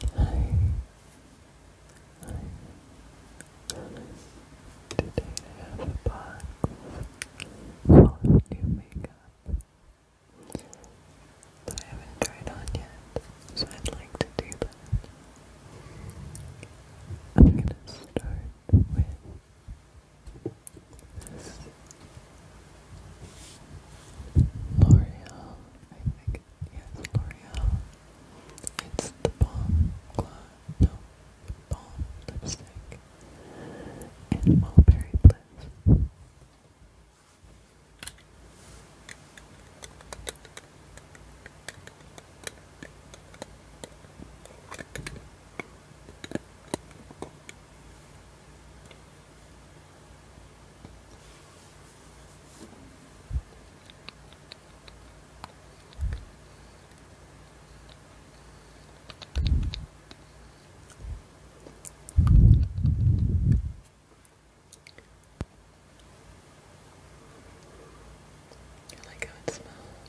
Today I have a box of new makeup that I haven't tried on yet, so I'd like to do I'm gonna start with this L'Oreal, I think, yeah, it's L'Oreal. It's the bomb, Glide, no, Lipstick, and Mulberry Bliss. I like how it smells.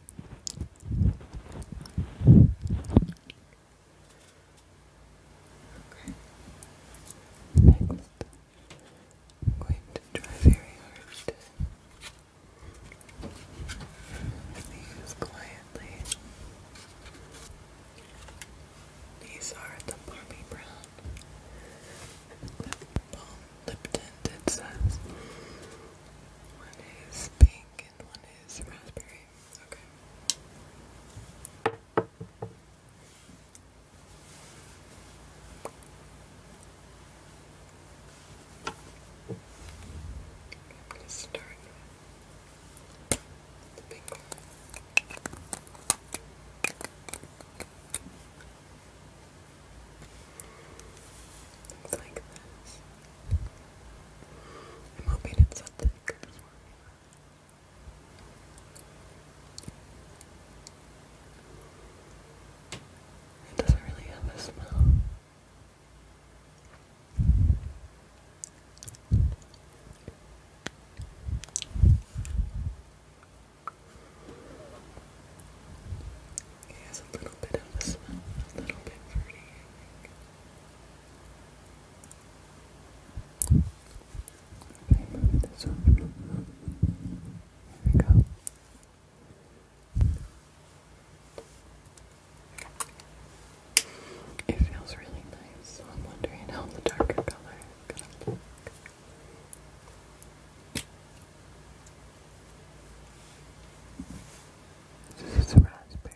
Okay. Next, I'm going to try very hard to sneeze quietly. These are the Barbie Brown Lip Balm Lip Tint, it says pink one is raspberry. Okay. I'm gonna start like this. I'm hoping it's something good It doesn't really have a smell. It has a little bit of a smell, a little bit fruity, I think. move this over. There we go. It feels really nice, I'm wondering how the darker color This is a raspberry.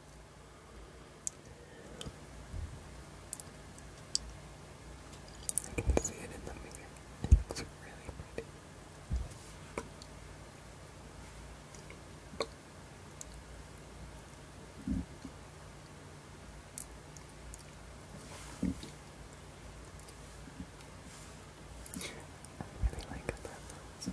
I can see it in the mirror. It looks really pretty. I really like that.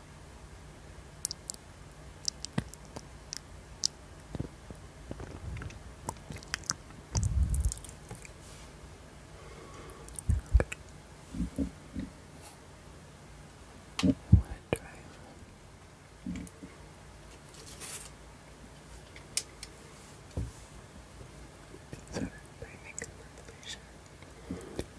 Okay. What a drive. It's a very big contemplation.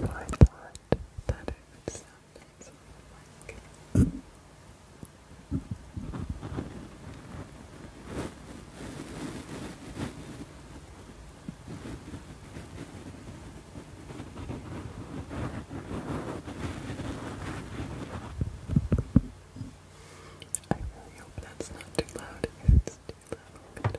I thought that it would sound nice on the mic. I really hope that's not too loud. If it's too loud,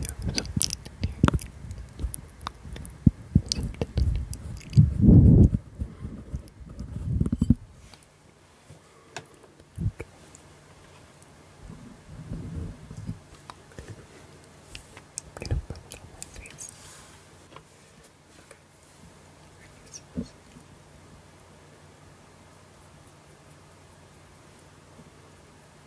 Yeah, there's something in here. Something. Okay. I'm gonna put it on my face. Okay. Okay.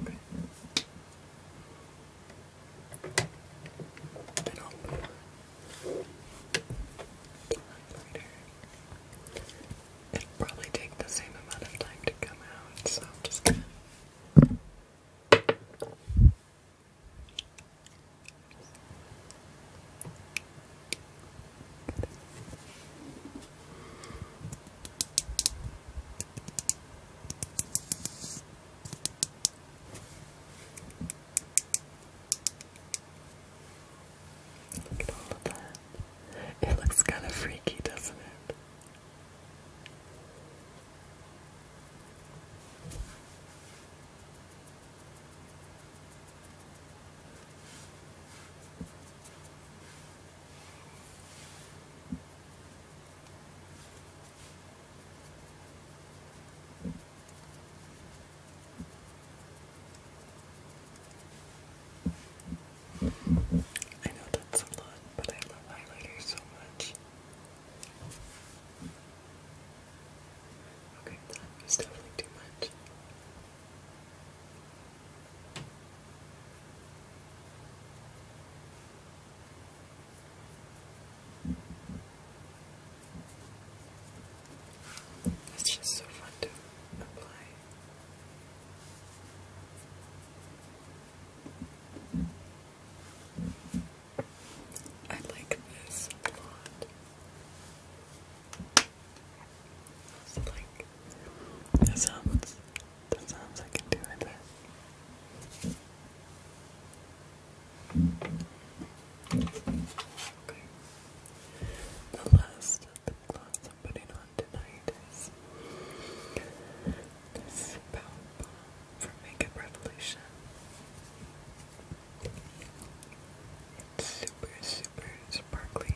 Okay. It'll probably take the same amount of time to come out, so I'm just gonna it looks kind of freaky, doesn't it? I know that's a lot, but I love highlighters so much. Okay, that definitely too much. It's just so fun to apply. I like this a lot. It's like that sounds that sounds I can do it. Okay. The last lip gloss I'm putting on tonight is this Power from Makeup Revolution. It's super, super sparkly. Okay.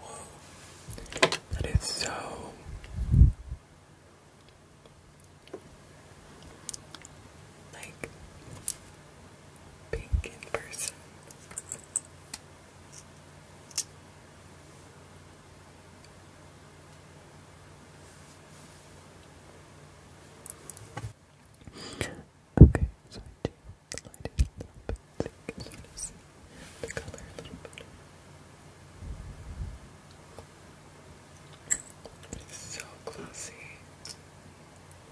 Whoa. That is so like pink in person. Okay, so I do the light is a bit the color a little bit. It's so glossy.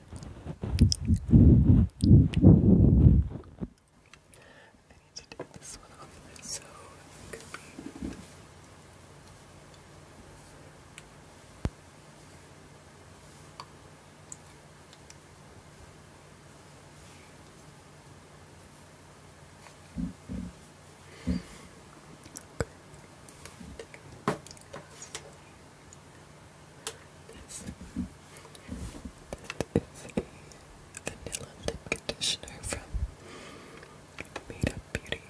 I need to take this one off so it could be. Okay. Take this, is a vanilla lip conditioner from Made Beauty.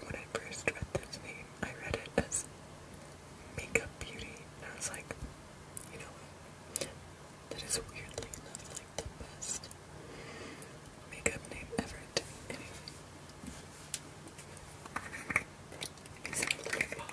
When I first read this name, I read it as Makeup Beauty, and I was like, you know what? That is weirdly enough like the best makeup name ever it smells good. I'm just gonna i do not know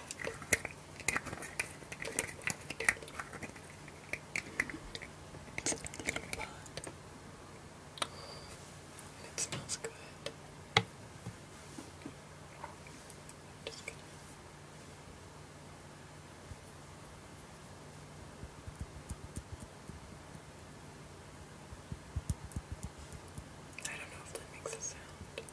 if that makes a sound.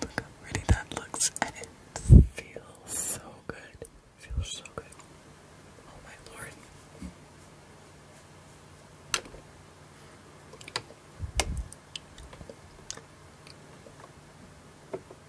Look that looks, and it feels so good. feels so good. Oh my lord.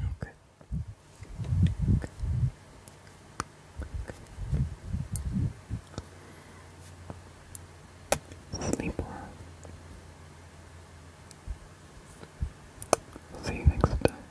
Okay. Sleep well. See you next time.